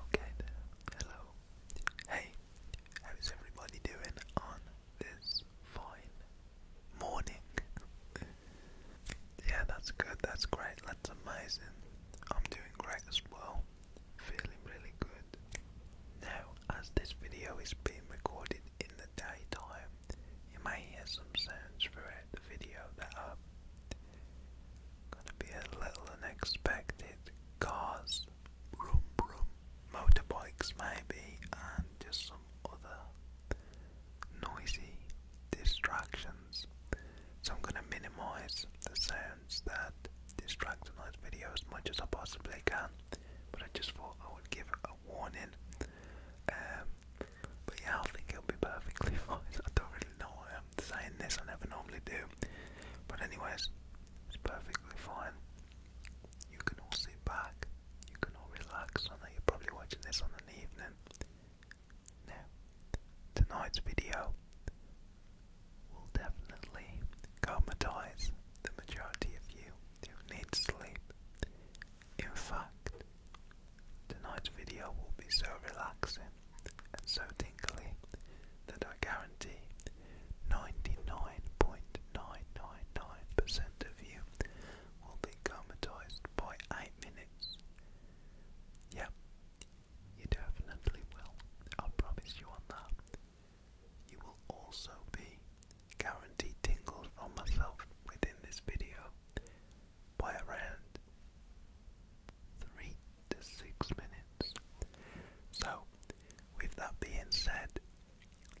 Okay hello. Hey, how is everybody doing on this fine morning? yeah, that's good, that's great, that's amazing. I'm doing great as well, feeling really good. Now, as this video is being recorded in the daytime, you may hear some sounds throughout the video Gonna be a little unexpected cars, room, room, motorbikes maybe, and just some other noisy distractions. So I'm gonna minimise the sounds that distract the tonight's video as much as I possibly can. But I just thought I would give a warning. Um, but yeah, I think it'll be perfectly fine. I don't really know I'm saying this. I never normally do. But anyways, it's perfectly fine. You can all sit back. You can all relax. I know you're probably watching this on an evening. Now, tonight's video will definitely calmatize the majority of you who need sleep. In fact, tonight's video will be so relaxing and so tingly that I guarantee 99.999% of you will be comatized by 8 minutes. Yeah, you definitely will. I promise you on that. You will also be guaranteed tingles from myself within this video by around three to six minutes. So, with that being said,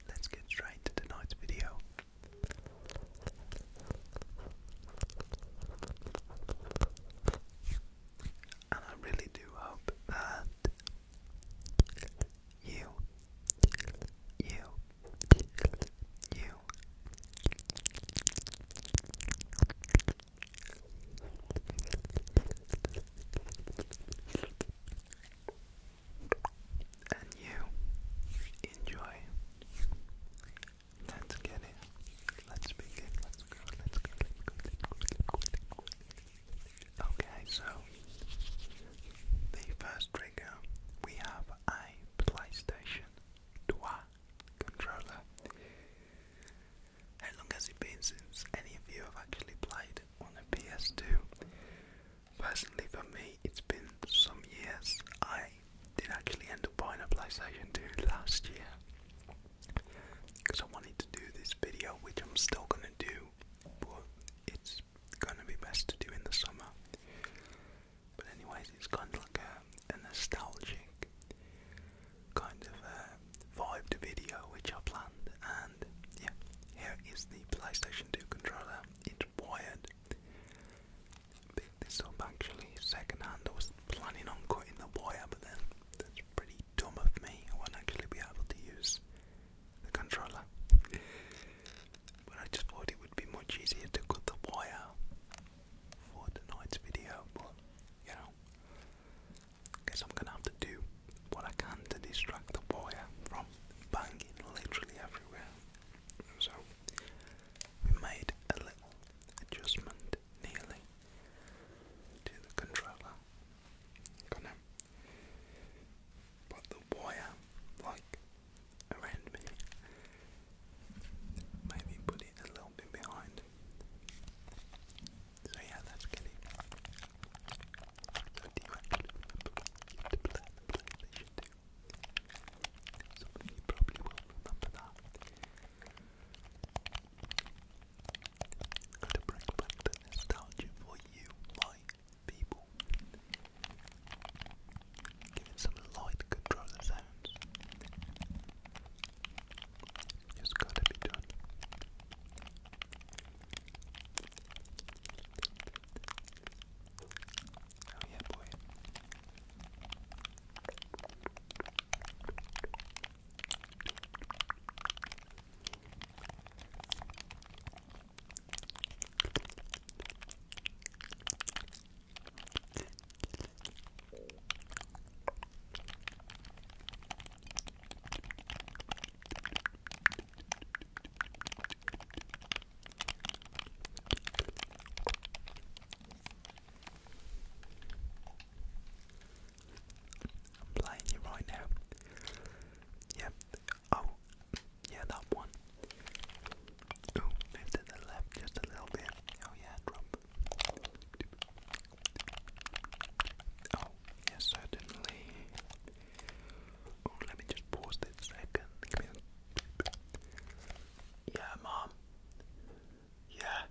let's get straight to tonight's video. And I really do hope that you, you, you, and you enjoy. Let's get it. Let's begin. Let's go. Let's go. Let's go. Let's go. Okay, so the first trigger we have a PlayStation 2 controller. How long has it been since any of you have actually played on a PS2? Personally, for me, it's been some years. I did actually end up buying a PlayStation 2 last year because I wanted to do this video, which I'm still gonna do, but it's gonna be best to do in the summer. But anyways, it's kind of like a nostalgic kind of uh, vibe video which I planned. And yeah, here is the PlayStation 2 controller. It's wired. Picked this up actually second hand. I was planning on cutting the wire, but then that's pretty dumb of me. I won't actually be able to use the controller. but I just thought it would be much easier to cut the wire for tonight's video, but you know, Guess I'm gonna have to do what I can to distract the wire from banging literally everywhere. So we made a little adjustment nearly to the controller. Gonna put the wire like around me. Maybe put it a little bit behind. So yeah, that's Kenny. So do you you had to plan the PlayStation 2? Some you probably will remember that. Gotta bring back the nostalgia for you, my people. Giving some light controller sounds. It's gotta be done. Oh yeah, boy i you right now. Yep. Oh, yeah, that one. Oh, move to the left just a little bit. Oh yeah, drop Oh, yes, certainly. Oh, let me just pause this second. Yeah, mom. Yeah.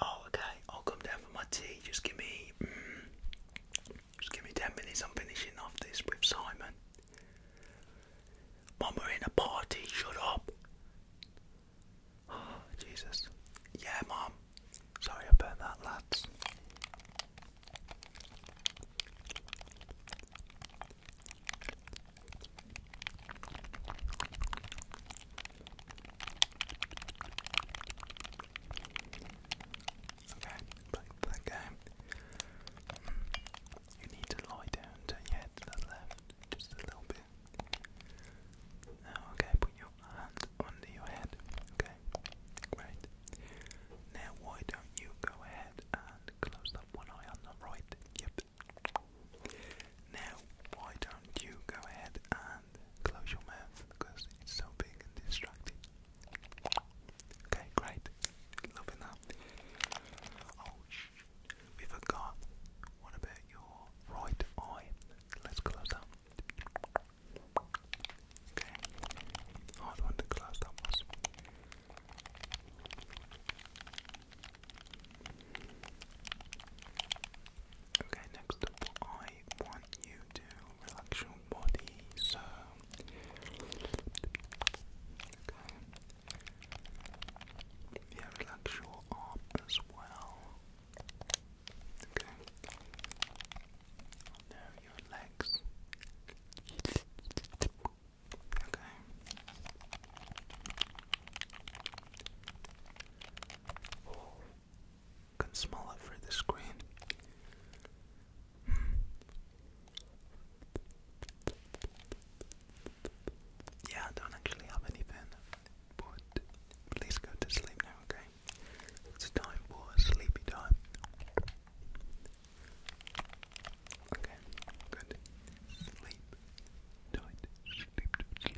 Oh, okay. I'll come down for my tea. Just give me, mm, just give me ten minutes. I'm finishing off this with Simon. Mom, we're in a party. Shut up. Oh, Jesus. Yeah, Mom. Sorry about that, lads. Okay, back hmm. You need to lie down to your left, just a little bit. Now, okay, put your hand under your head. Okay, great. Now, why don't you go ahead and close up one eye on the right? Yep. Now, why don't you go ahead and close your mouth because it's so big and distracting? Okay, great. Loving that. Oh, We forgot. What about your right eye? Let's close that. Okay. Hard one to close that Okay, next up I want you to relax your body, so okay. Yeah, relax your arm as well. Okay. Now your legs. Okay. Oh, can smell it through the screen. Hmm. Yeah, I don't actually have any anything but please go to sleep now, okay? It's time for sleepy time. Okay, good. Sleep tight. Sleep tight. Sleep tight.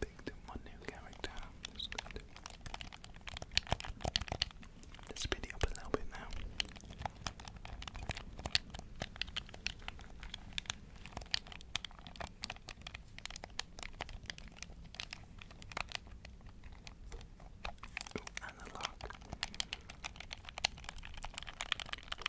Big make them new character. Let's speed it up a little bit now. and the lock.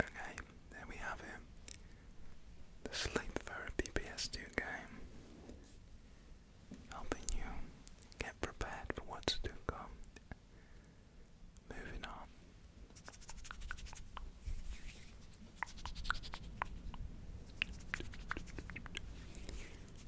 Okay, there we have it. The Sleep for a BPS 2 game. Helping you get prepared for what's to come. Moving on.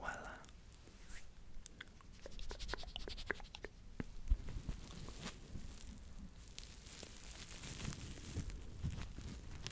Voila.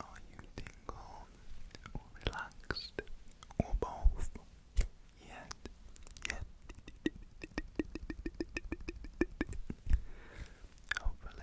Are you tingled or relaxed or both? Yet, yet. Hopefully.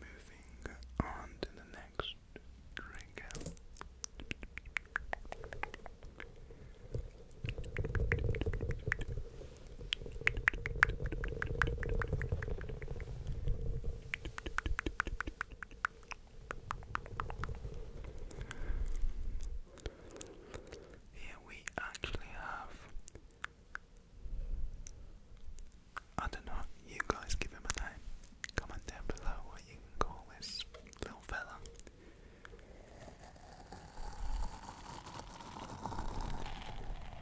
Moving on to the next trigger. Here we actually have. I don't know, you guys give him a name. Comment down below what you can call this little fella.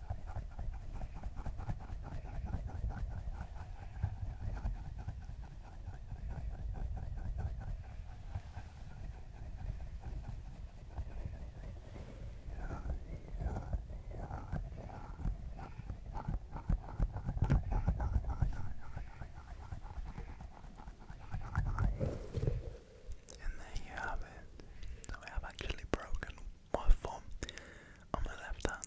And there you have it. I have actually broken waffle on my left hand.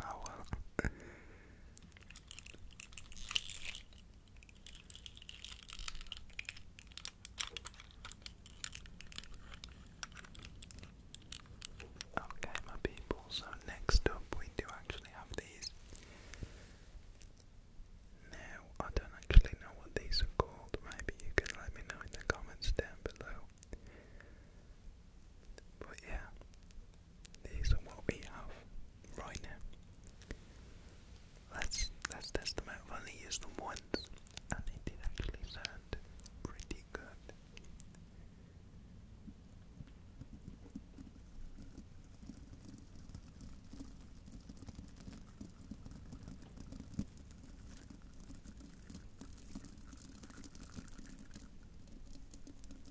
I Okay, my people, so next up we do actually have these. Now, I don't actually know what these are called, maybe you can let me know in the comments down below. But yeah, this are what we have right now. Let's let's test them out. i once, and it did actually sound pretty good.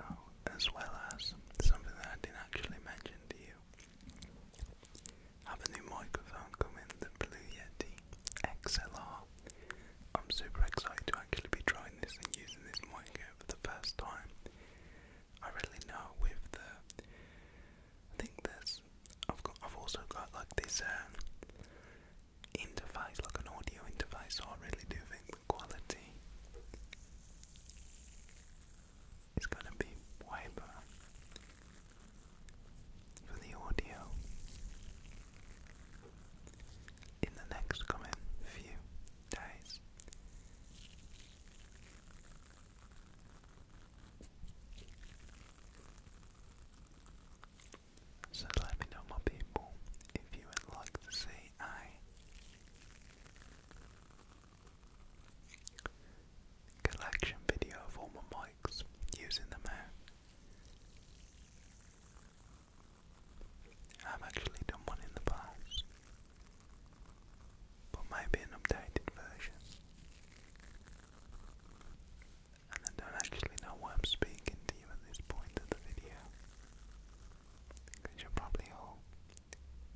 Oh, as well as something that I didn't actually mention to you have a new microphone coming, the Blue Yeti XLR. I'm super excited to actually be trying this and using this microphone for the first time. I really know with the, I think this I've got, I've also got like this um, interface, like an audio interface. So I really do think the quality it's going to be Wiper for the audio. In the next coming few days, so let me know, my people, if you would like to see I collection video of all my using them out. I've actually done one in the past, but maybe an updated version. And I don't actually know why I'm speaking to you at this point of the video, because you're probably all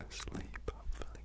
asleep, hopefully.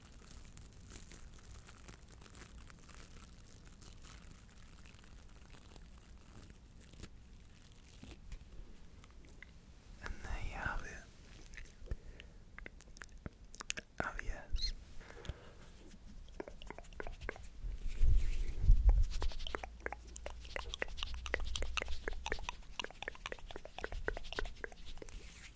And there you have it. Oh, yes.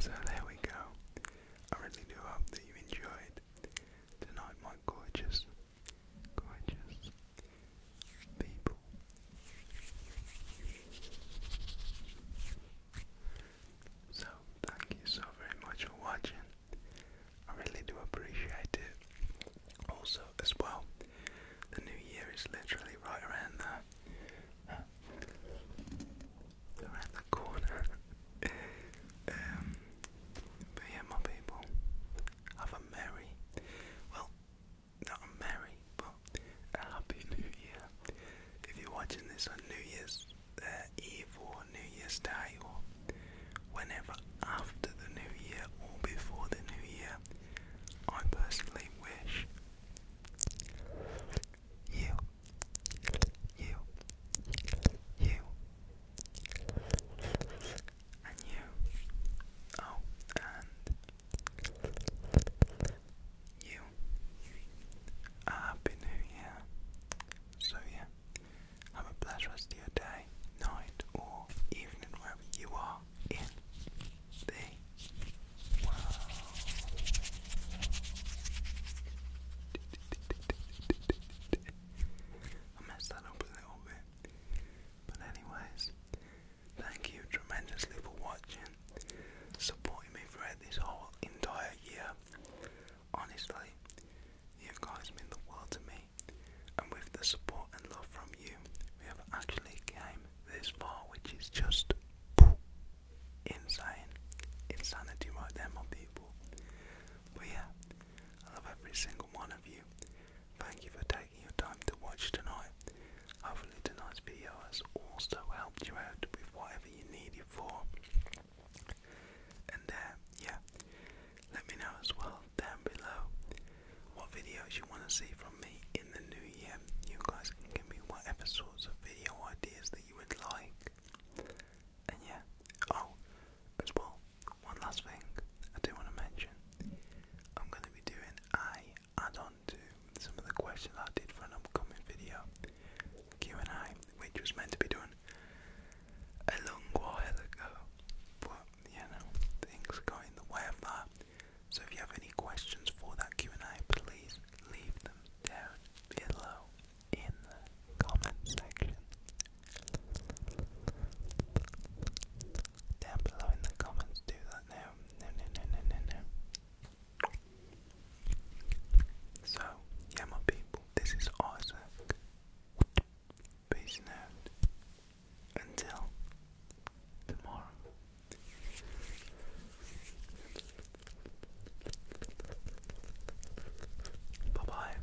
So there we go. I really do hope that you enjoyed tonight, my gorgeous, gorgeous people. So, thank you so very much for watching. I really do appreciate it. Also, as well, the new year is literally right around the, uh, around the corner. um, but yeah, my people, have a merry, well, not a merry, but a happy new year. If you're watching this on New Year's uh, Eve or New Year's Day or whenever after the new year or before the new year, I personally wish you, you, you, and you, oh, and you, happy new year. So, yeah, have a blessed rest of your day, night, or evening, wherever you are in the world. I messed that up a little bit. But anyways, thank you tremendously for watching, supporting me throughout this whole entire year. Honestly, you guys mean the world to me. And with the support and love from you, we have actually came this far, which is just insane. Insanity right there, my people. But yeah, I love every single one of you. Thank you for taking your time to watch tonight. Hopefully tonight's video has also helped you out with whatever you need it for. And uh, yeah, let me know as well down below what videos you want to see from me in the new year. You guys can give me whatever sorts of video ideas that you would like. And yeah, oh, as well, one last thing I do want to mention. I'm going to be doing a add-on to some of the questions I did for an upcoming video, Q&A, which was meant to be done a long while ago. But you know, things go in the way of that. So if you have any questions for that Q and A, please leave them down below in the comment section. Down below in the comments, do that now. No, no, no, no, no, no. So, yeah, my people, this is Isaac. Peace out. Until tomorrow. Bye bye.